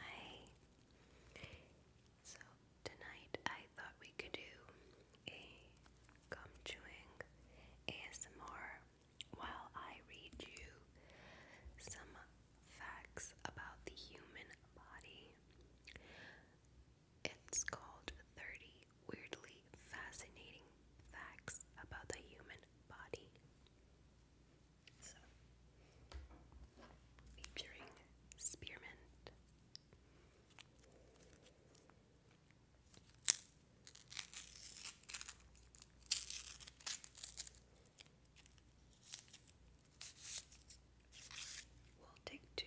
Hi. So tonight I thought we could do a gum ASMR while I read you some facts about the human body. It's called 30 Weirdly Fascinating Facts About the Human Body. So, featuring spearmint. We'll take two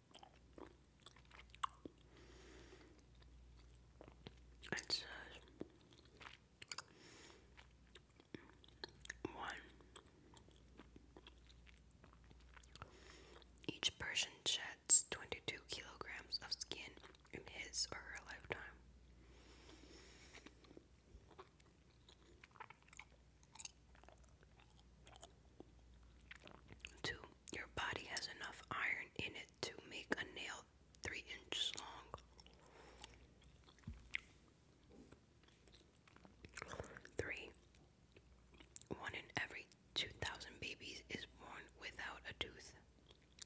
It says one. Each person sheds 22 kilograms of skin in his or her lifetime. Two, your body has enough iron in it to make a nail three inches long. Three, one in every 2,000 babies is born without a tooth.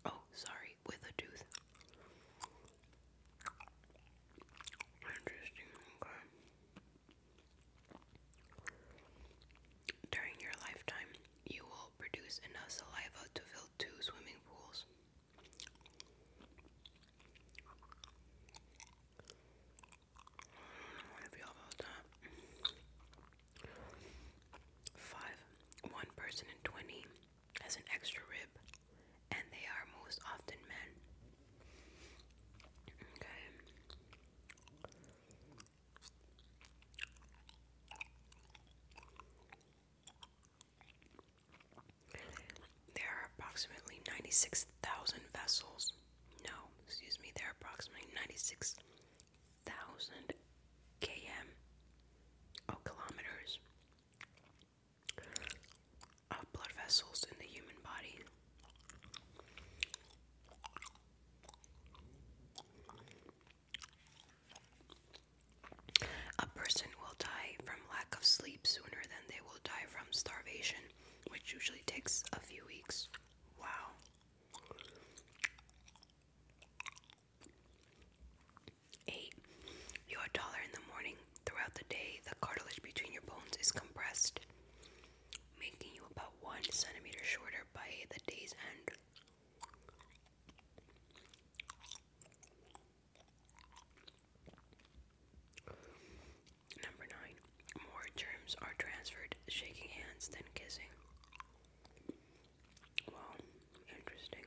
Oh, sorry, with a tooth. Interesting, okay. During your lifetime, you will produce enough saliva to fill two swimming pools. Five. One person in 20 has an extra rib, and they are most often men. Okay. There are approximately 96,000 vessels. No, excuse me, there are approximately 96,000 km. Oh, kilometers of blood vessels in the human body. A person will die from lack of sleep sooner than they will die from starvation, which usually takes a few weeks. Wow. Eight. You are taller in the morning. Throughout the day, the cartilage between your bones is compressed making you about one centimeter shorter by the day's end. Number nine, more germs are transferred shaking hands than kissing. Well, interesting.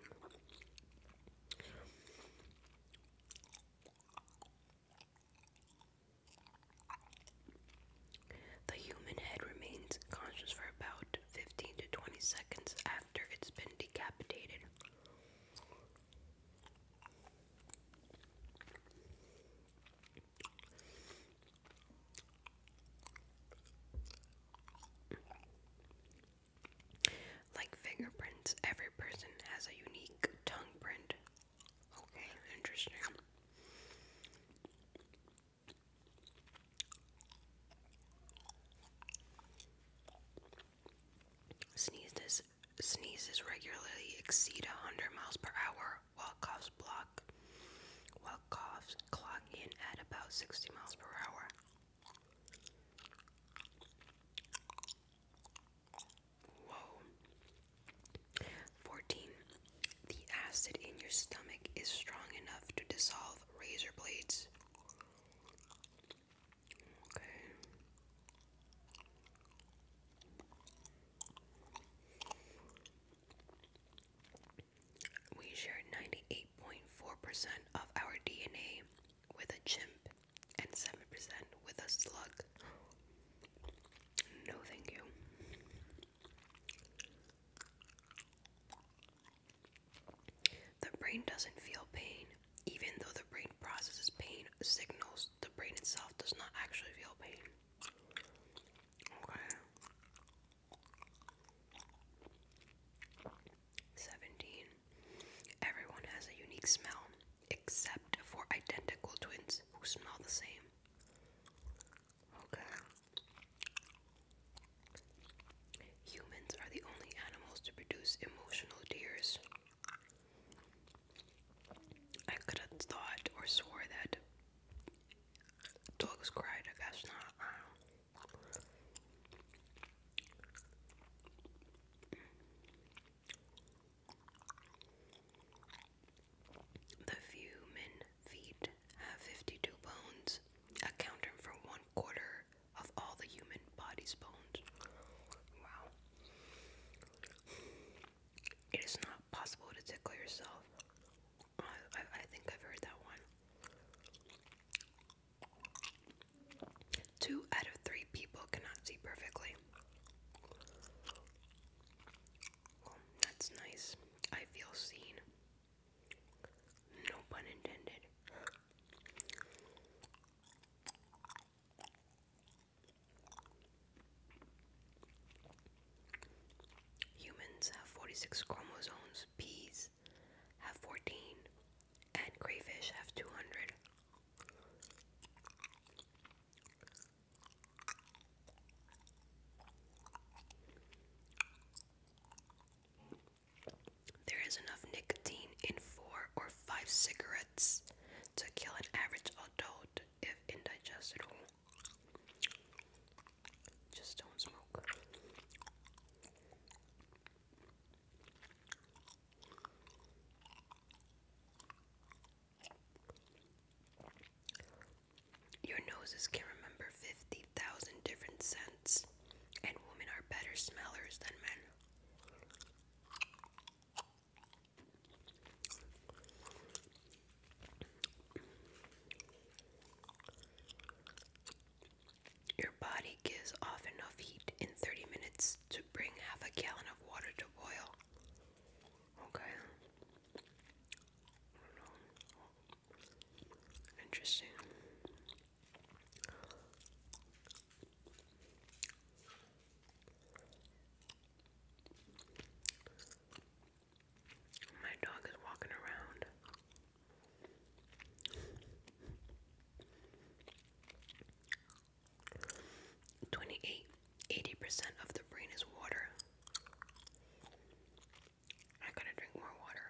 The human head remains conscious for about 15 to 20 seconds after it's been decapitated. Like fingerprints, every person has a unique tongue print. Okay, interesting. Sneezes sneezes regularly exceed 100 miles per hour, while coughs block while coughs clock in at about 60 miles per hour. Whoa. 14. The acid in your stomach is strong enough to dissolve razor blades. Okay. We share 98.4% of our DNA with a chimp and 7% with a slug. No, thank you. The brain doesn't feel pain. Even though the brain processes pain signals, the brain itself does not actually feel pain. 17. Everyone has a unique smell, except for identical twins who smell the same. Okay. Humans are the only animals to produce emotional tears. I could have thought or swore that dogs cried. I not the human feet have 52 bones, accounting for one quarter of all the human body's bones. Wow. It is not possible to tickle yourself. I, I, think I've heard that one. Two out of three people cannot see perfectly. Um, that's nice. I feel seen. No pun intended. Humans have 46 chromosomes, peas have 14, and crayfish have 200. There is enough nicotine in four or five cigarettes to kill an average adult if indigestible. Just don't smoke. Your noses can remember 50,000 different scents, and women are better smellers than men. Your body gives off enough heat in 30 minutes to bring half a gallon of water to boil. Okay. Interesting. My dog is walking around. 28. 80% of the brain is water. I gotta drink more water.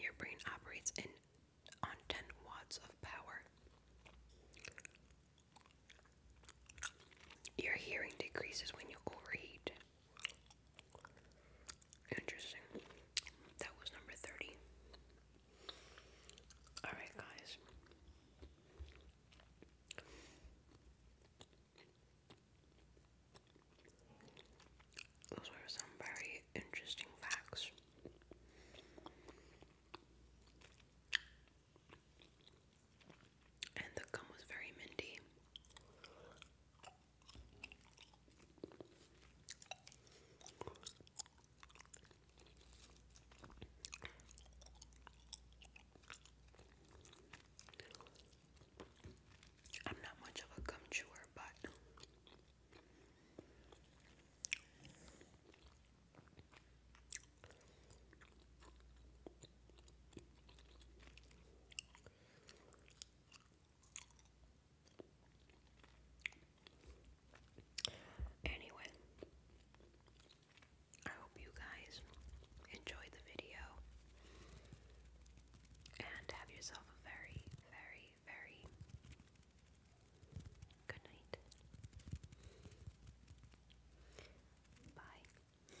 Your brain operates in on 10 watts of power. Your hearing decreases when you overheat. Interesting. That was number 30. Alright, guys. Those were some very interesting facts. And the gum was very minty. I'm not much of a gum but Anyway, I hope you guys enjoyed the video and have yourself a very, very, very good night. Bye.